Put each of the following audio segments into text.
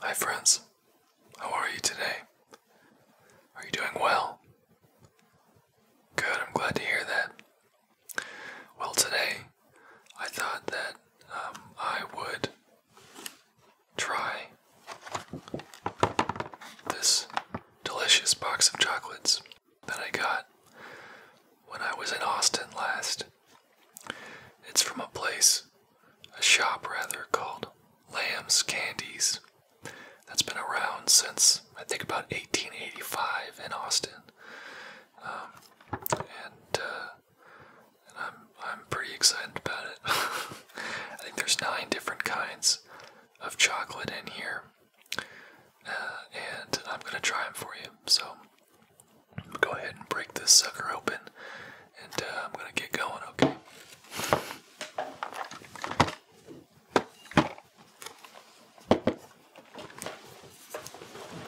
Hi, friends. How are you today? Are you doing well? Good, I'm glad to hear that. Well, today I thought that um, I would try this delicious box of chocolates that I got when I was in Austin last it's from a place, a shop rather, called Lamb's Candies that's been around since I think about 1885 in Austin. Um, uh, and, I'm, I'm pretty excited about it. I think there's nine different kinds of chocolate in here. Uh, and I'm gonna try them for you. So go ahead and break this sucker open and uh, I'm gonna get going, okay?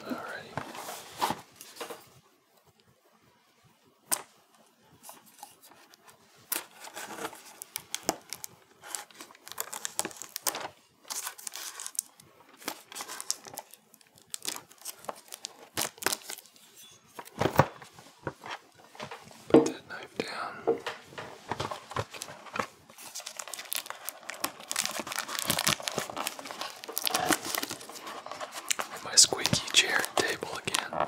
Alrighty. Put that knife down. My squeaky chair and table again.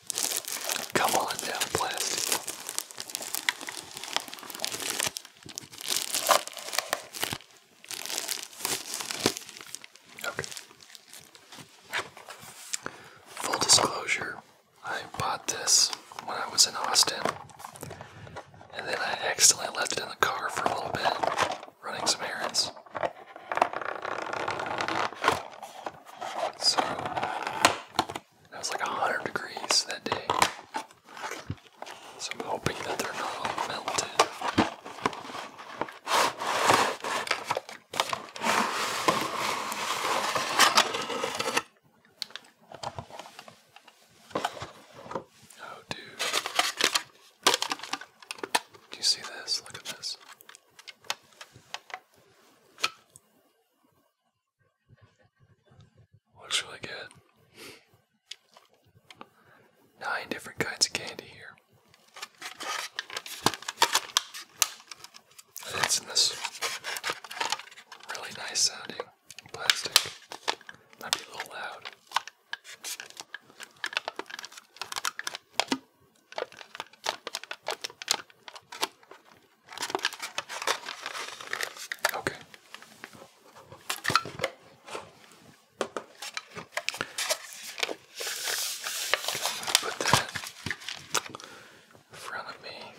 Come on down, plastic. Okay. Full disclosure, I bought this when I was in Austin, and then I accidentally left it in the car for a little bit, running some errands. So it was like 100 degrees that day. So I'm hoping that they're not all melted. Oh, dude. Do you see this? Look at this. Looks really good. Nine different kinds of candy here. That's in this really nice sounding plastic. Might be a little loud. Okay. put that in front of me.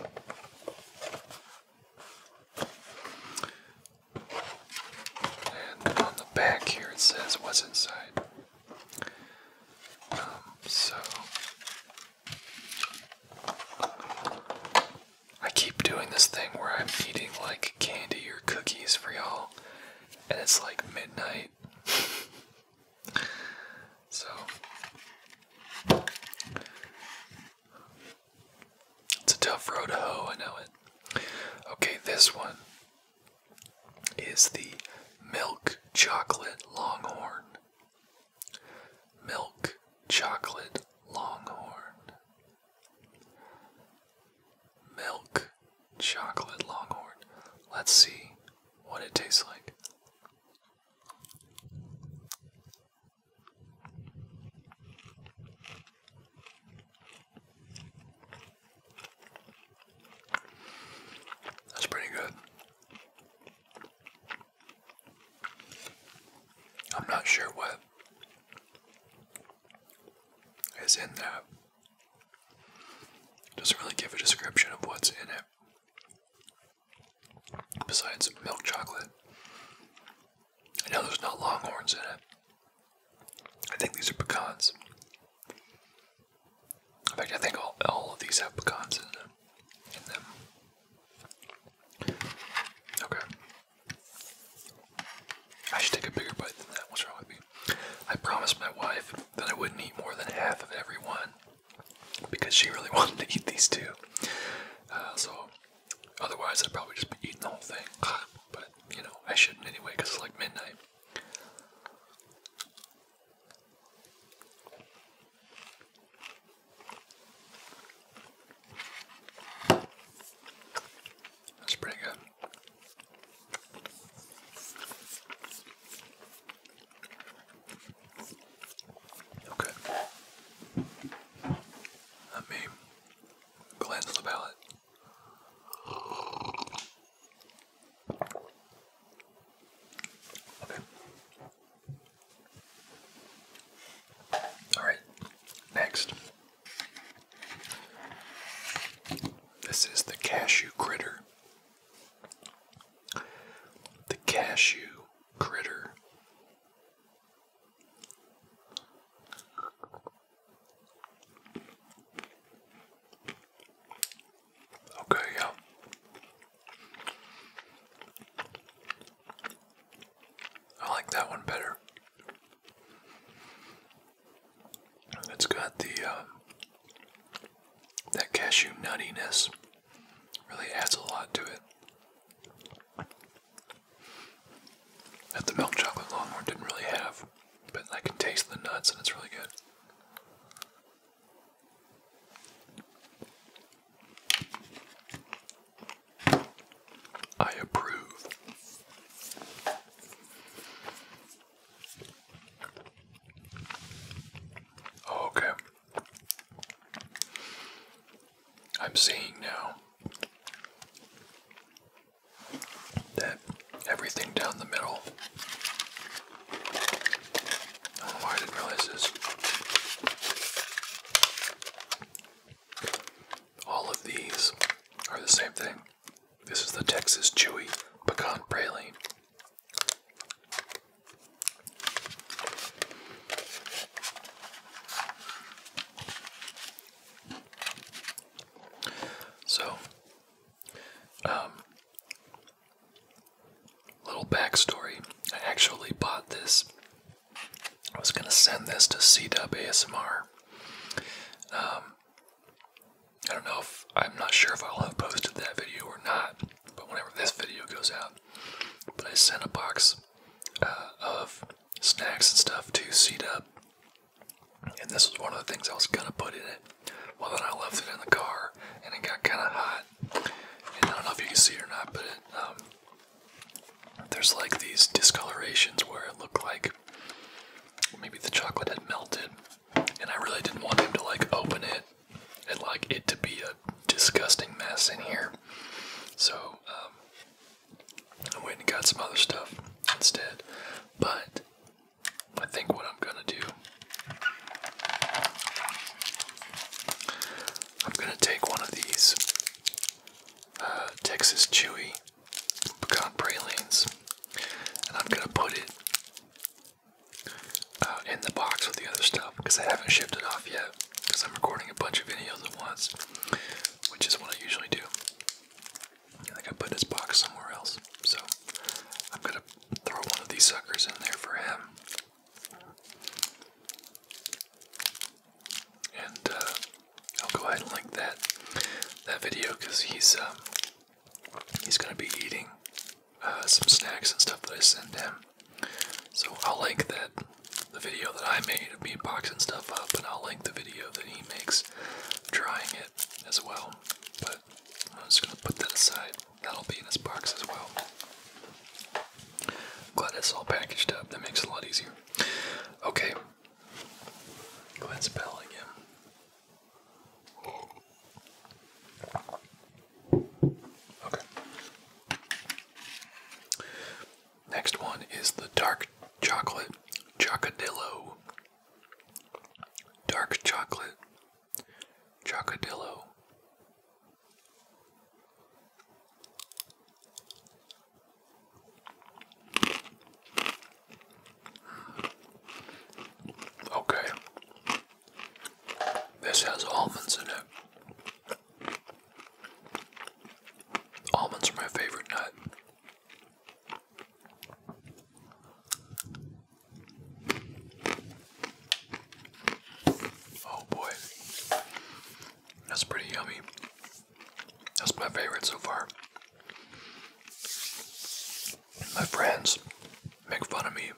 And on the back here it says what's inside so I keep doing this thing where I'm eating like candy or cookies for y'all, and it's like midnight. so it's a tough road to hoe, I know it. Okay, this one is the milk chocolate longhorn. Milk chocolate longhorn. Milk chocolate longhorn. Let's see what it tastes like. That's pretty good. I'm not sure what is in that. Doesn't really give a description of what's in it. Besides milk chocolate. I know there's not longhorns in it. I think these are pecans. In fact, I think all, all of these have pecans in them. Okay. I should take a bigger bite than that. What's wrong with me? I promised my wife that I wouldn't eat more than half of every one because she really wanted to eat these two. Uh, so, otherwise, I'd probably just be eating the whole thing. But, you know, I shouldn't anyway because it's like midnight. That's pretty good. Okay. Let me cleanse the palate. All right. Next. This is the cashew critter. The cashew critter. Okay, yeah. I like that one better. It's got the um, that cashew nuttiness. Really adds a lot to it. That the milk chocolate Longhorn didn't really have, but I can taste the nuts and it's really good. I approve. Okay. I'm seeing now that everything down the middle I didn't realize this. All of these are the same thing. This is the Texas Chewy Pecan Praline. So, um, Little backstory I actually bought this. I was going to send this to C-Dub ASMR. Um, I don't know if I'm not sure if I'll have posted that video or not, but whenever this video goes out, but I sent a box uh, of snacks and stuff to C-Dub, and this was one of the things I was gonna put in it. Well, then I left it in the car, and it got kind of hot. And I don't know if you can see it or not, but um, there's like these discolorations where it looked like maybe the chocolate had melted. And I really didn't want him to like open it and like it to be a disgusting mess in here. So um, I went and got some other stuff instead. But I think what I'm gonna do, I'm gonna take one of these uh, Texas Chewy pecan pralines, and I'm gonna put it uh, in the box with the other stuff because I haven't shipped it off yet because I'm recording a bunch of videos at once, which is what I usually do. I think to put this box somewhere else, so I'm gonna Throw one of these suckers in there for him. And uh, I'll go ahead and link that that video because he's um, he's gonna be eating uh, some snacks and stuff that I send him. So I'll link that the video that I made of me boxing stuff up, and I'll link the video that he makes trying it as well. But I'm just gonna put that aside. That'll be in this box as well. glad it's all packaged up. That makes it a lot easier. Okay. Go again. Okay. Next one is the dark chocolate Chocadillo. Dark chocolate Chocodillo. Okay. This has almonds in it. Almonds are my favorite nut. Oh boy. That's pretty yummy. That's my favorite so far. My friends make fun of me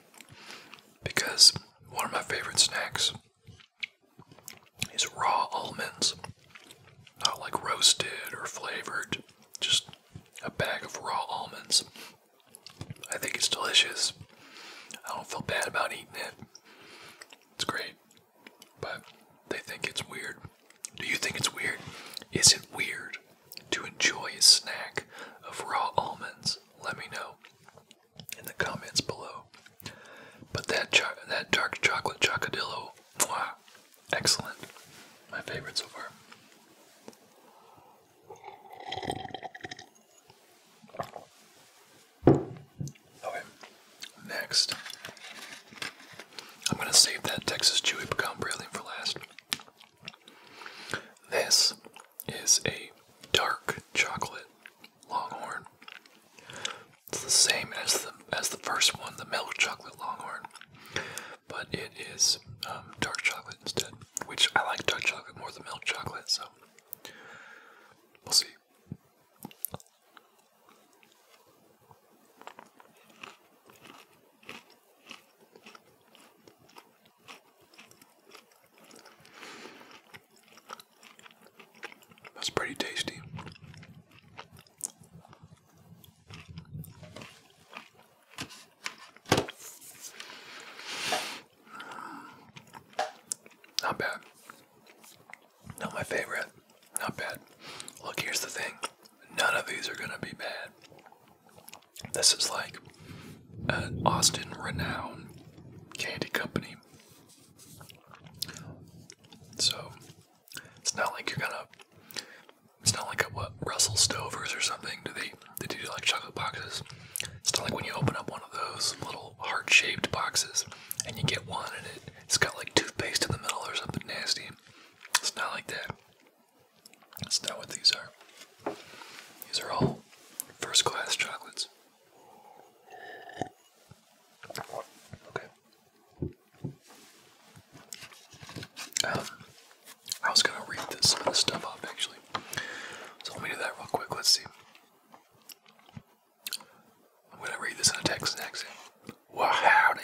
because one of my favorite snacks is raw almonds. Not like roasted or flavored, just a bag of raw almonds. I think it's delicious. I don't feel bad about eating it. It's great. But they think it's weird. Do you think it's weird? Is it weird to enjoy a snack of raw almonds? Let me know in the comments below. But that that dark chocolate chocodillo, excellent. My favorite so far. Okay, next. I'm going to save that Texas Chewy Pecan Praline for last. This is a dark chocolate longhorn. It's the same as the as the first one, the milk chocolate longhorn, but it is um, dark chocolate instead which I like dark chocolate more than milk chocolate, so we'll see. That's pretty tasty. Not bad. Not my favorite. Not bad. Look, here's the thing. None of these are gonna be bad. This is like an Austin renowned candy company. So it's not like you're gonna it's not like a what Russell Stovers or something. Do they they do like chocolate boxes. It's not like when you open up one of those little heart-shaped boxes and you get one and it, has got like toothpaste in the middle or something nasty. It's not like that. It's not what these are. These are all first-class chocolates. Okay. Um, I was gonna read this, some of this stuff up actually. So let me do that real quick. Let's see. I'm gonna read this in a Texas accent. Well, howdy.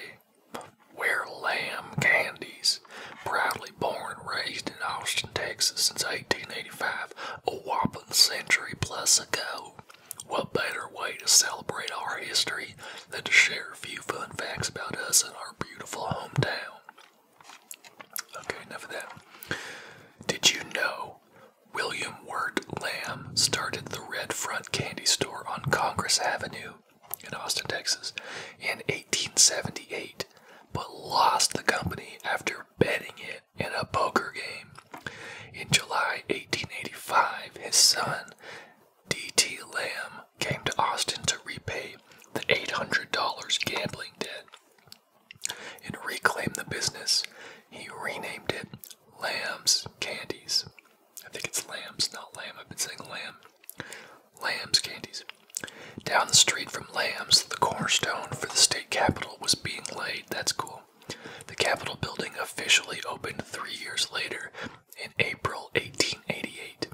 We're lamb candies. Proudly born and raised in Austin, Texas since 1885, a whopping century plus ago. What better way to celebrate our history than to share a few fun facts about us and our beautiful hometown? Okay, enough of that. Did you know William Wirt Lamb started the Red Front Candy Store on Congress Avenue in Austin, Texas in 1878, but lost the company after betting it in a poker game? In July 1885, his son, D.T. Lamb, came to Austin to repay the $800 gambling debt and reclaimed the business. He renamed it Lamb's Candies. I think it's Lamb's, not Lamb. I've been saying Lamb. Lamb's Candies. Down the street from Lamb's, the cornerstone for the state capitol was being laid. That's cool. The Capitol building officially opened three years later in April 1888.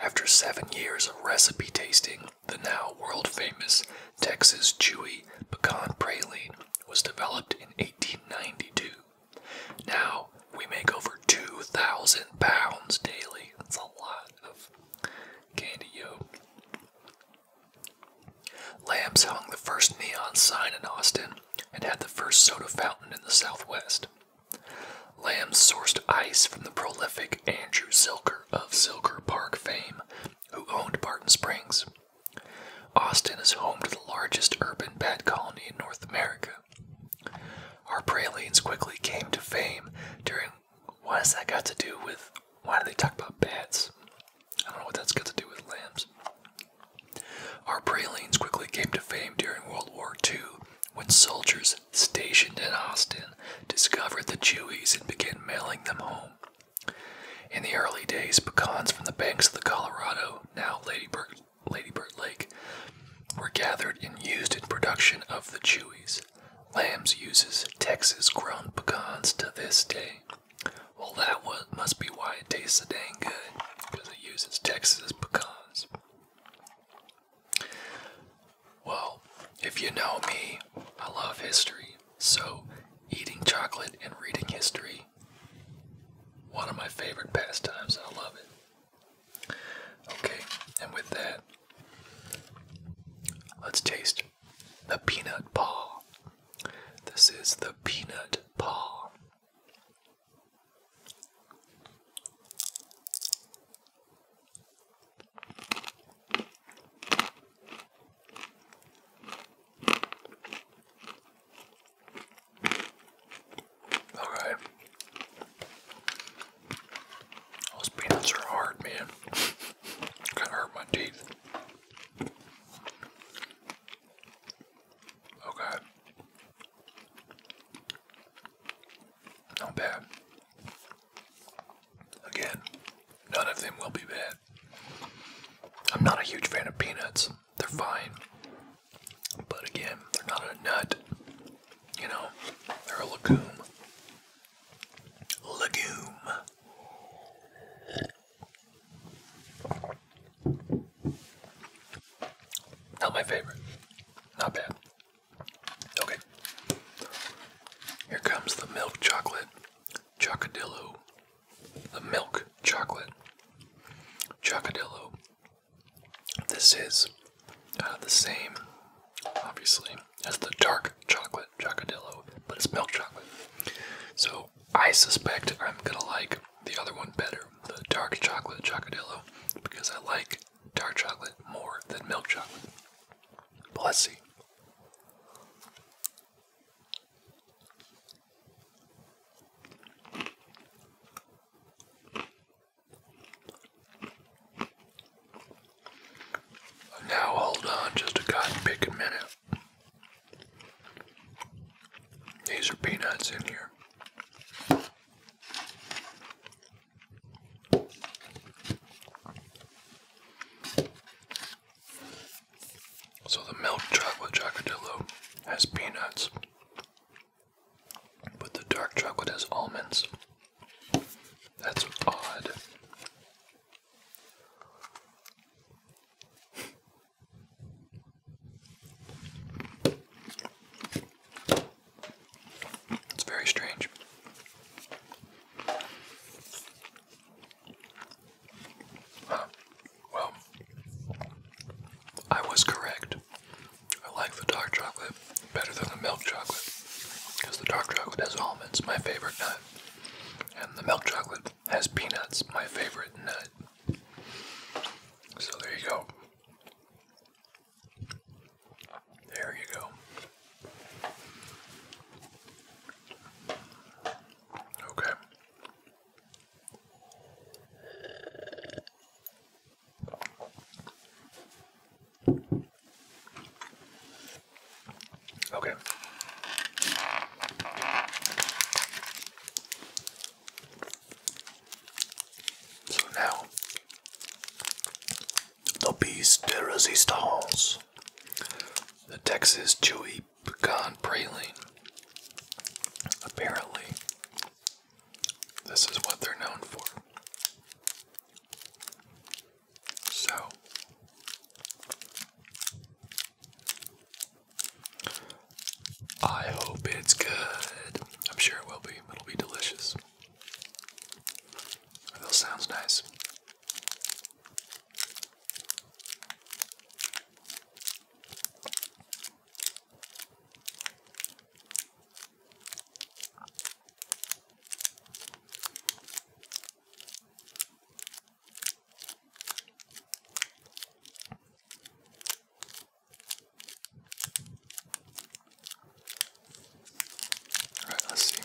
After seven years of recipe tasting, the now world famous Texas Chewy pecan praline was developed in 1892. Now we make over 2,000 pounds daily. That's a lot of candy, yo. Lambs hung the first neon sign in Austin and had the first soda fountain in the Southwest. Lamb sourced ice from the prolific Andrew Silker of Silker Park fame, who owned Barton Springs. Austin is home to the largest urban bat colony in North America. Our pralines quickly came to fame during. What has that got to do with. Why do they talk about bats? I don't know what that's got to do with lambs. Our pralines quickly came to fame during World War II when soldiers stationed in Austin discovered the Chewies and began mailing them home. In the early days, pecans from the banks of the Colorado, now Ladybird, Ladybird Lake, were gathered and used in production of the Chewies. Lambs uses Texas grown pecans to this day. Well, that one must be why it tastes so dang good, because it uses Texas pecans. Well, if you know me, I love history. So, eating chocolate and reading history, one of my favorite pastimes. I love it. Okay, and with that, let's taste the peanut paw. This is the peanut paw. All right. Those peanuts are hard, man. Kind of hurt my teeth. Okay. Not bad. Again, none of them will be bad. I'm not a huge fan of peanuts. They're fine. But again, they're not a nut. You know, they're a legume. Legume. Not my favorite. Not bad. Okay. Here comes the milk chocolate chocodillo. The milk chocolate chocodillo. This is the same, obviously, as the dark chocolate chocodillo, but it's milk chocolate. So I suspect I'm gonna like the other one better, the dark chocolate chocodillo, because I like dark chocolate more than milk chocolate. But let's see. Now hold on just a cotton minute. These are peanuts in here. So the milk chocolate chocodillo has peanuts, but the dark chocolate has almonds. That's odd. It's very strange. Well, I was correct. I like the dark chocolate better than the milk chocolate because the dark chocolate has almonds, my favorite nut, and the milk chocolate has peanuts, my favorite nut. So there you go. There you go. Okay. Okay. So now the Beast de resistance, the Texas chewy pecan praline. Apparently, this is what they're known for. So, I hope it's good. I'm sure it will be, it'll be delicious. That sounds nice. Alright, let's see.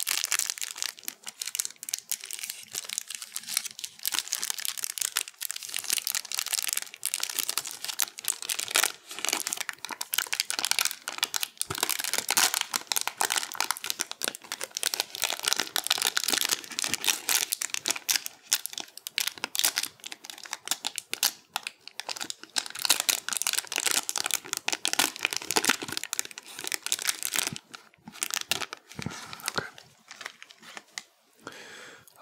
Okay.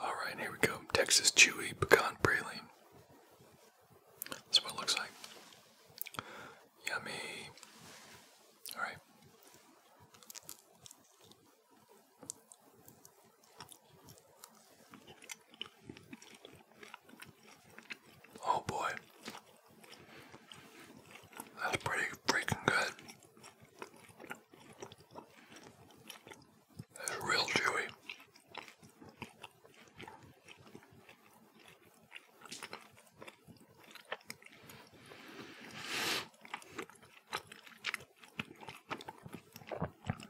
All right, here we go. Texas Chewy Pecan Praline. That's what it looks like. Yummy. All right. Oh boy. That's pretty freaking good. real chewy.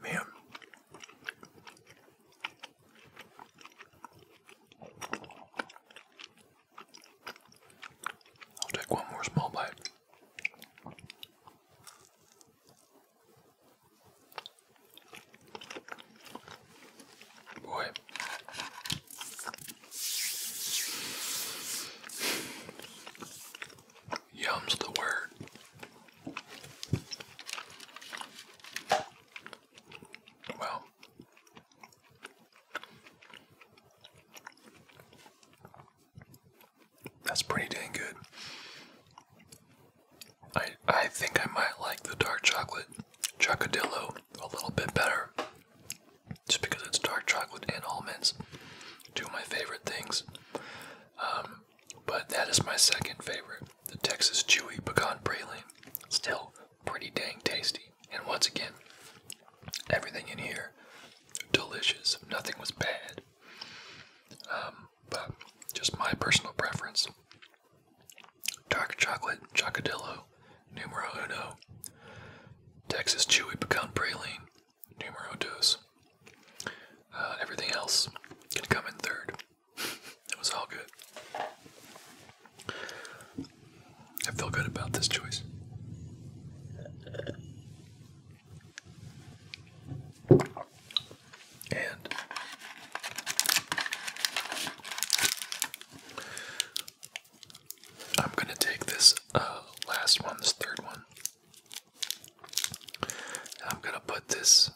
Man, I'll take one more small bite. Boy. Yum's the word. Well, that's pretty dang good. I I think I might like the dark chocolate chocodillo a little bit better. Just because it's dark chocolate and almonds, two of my favorite things. Um, but that is my second favorite the Texas Chewy Pecan Praline. Still pretty dang tasty. And once again, everything in here delicious. Nothing was bad. Um, but just my personal preference. Dark chocolate, chocodillo, numero uno. Texas Chewy Pecan Praline, numero dos. Uh, everything else can come in third. It was all good. I feel good about this choice. And I'm going to take this uh, last one, this third one. I'm going to put this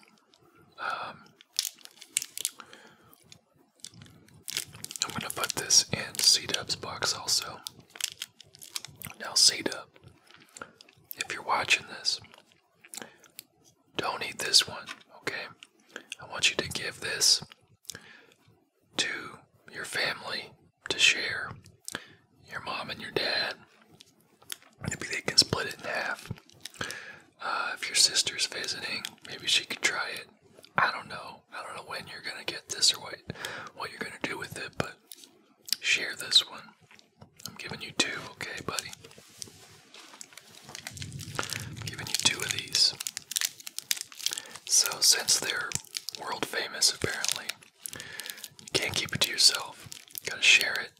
I'm going to put this in c box also. Now c if you're watching this, don't eat this one, okay? I want you to give this to your family to share, your mom and your dad. Maybe they can split it in half. Uh, if your sister's visiting, maybe she could try it. I don't know. I don't know when you're gonna get this or what what you're gonna do with it, but share this one. I'm giving you two, okay, buddy? giving you two of these. So since they're world famous, apparently, you can't keep it to yourself. You gotta share it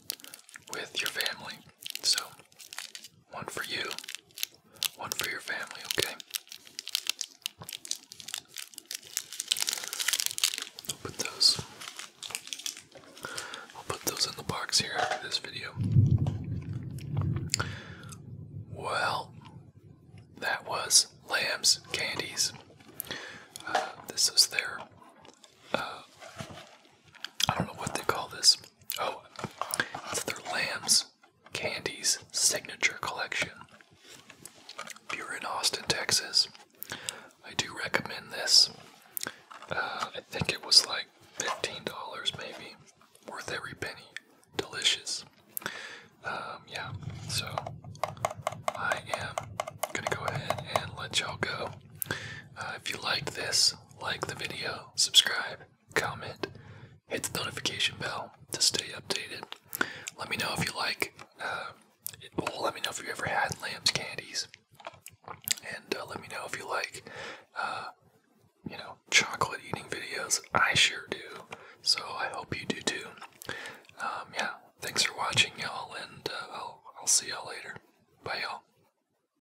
with your family. So one for you, one for your family, okay? I'll put those. I'll put those in the box here after this video. Well, that was Lamb's Candies. Uh, this is their. Uh, I don't know what they call this. Oh, it's their Lamb's Candy's Signature Collection. If you're in Austin, Texas, I do recommend this. Uh, I think it was like $15 maybe. Worth every penny. Delicious. Um, yeah, so I am gonna go ahead and let y'all go. Uh, if you liked this, like the video, subscribe, comment, hit the notification bell to stay updated. Let me know if you like, uh, let me know if you ever had Lamb's candies, and uh, let me know if you like, uh, you know, chocolate eating videos. I sure do, so I hope you do too. Um, yeah, thanks for watching, y'all, and I'll, I'll see y'all later. Bye, y'all.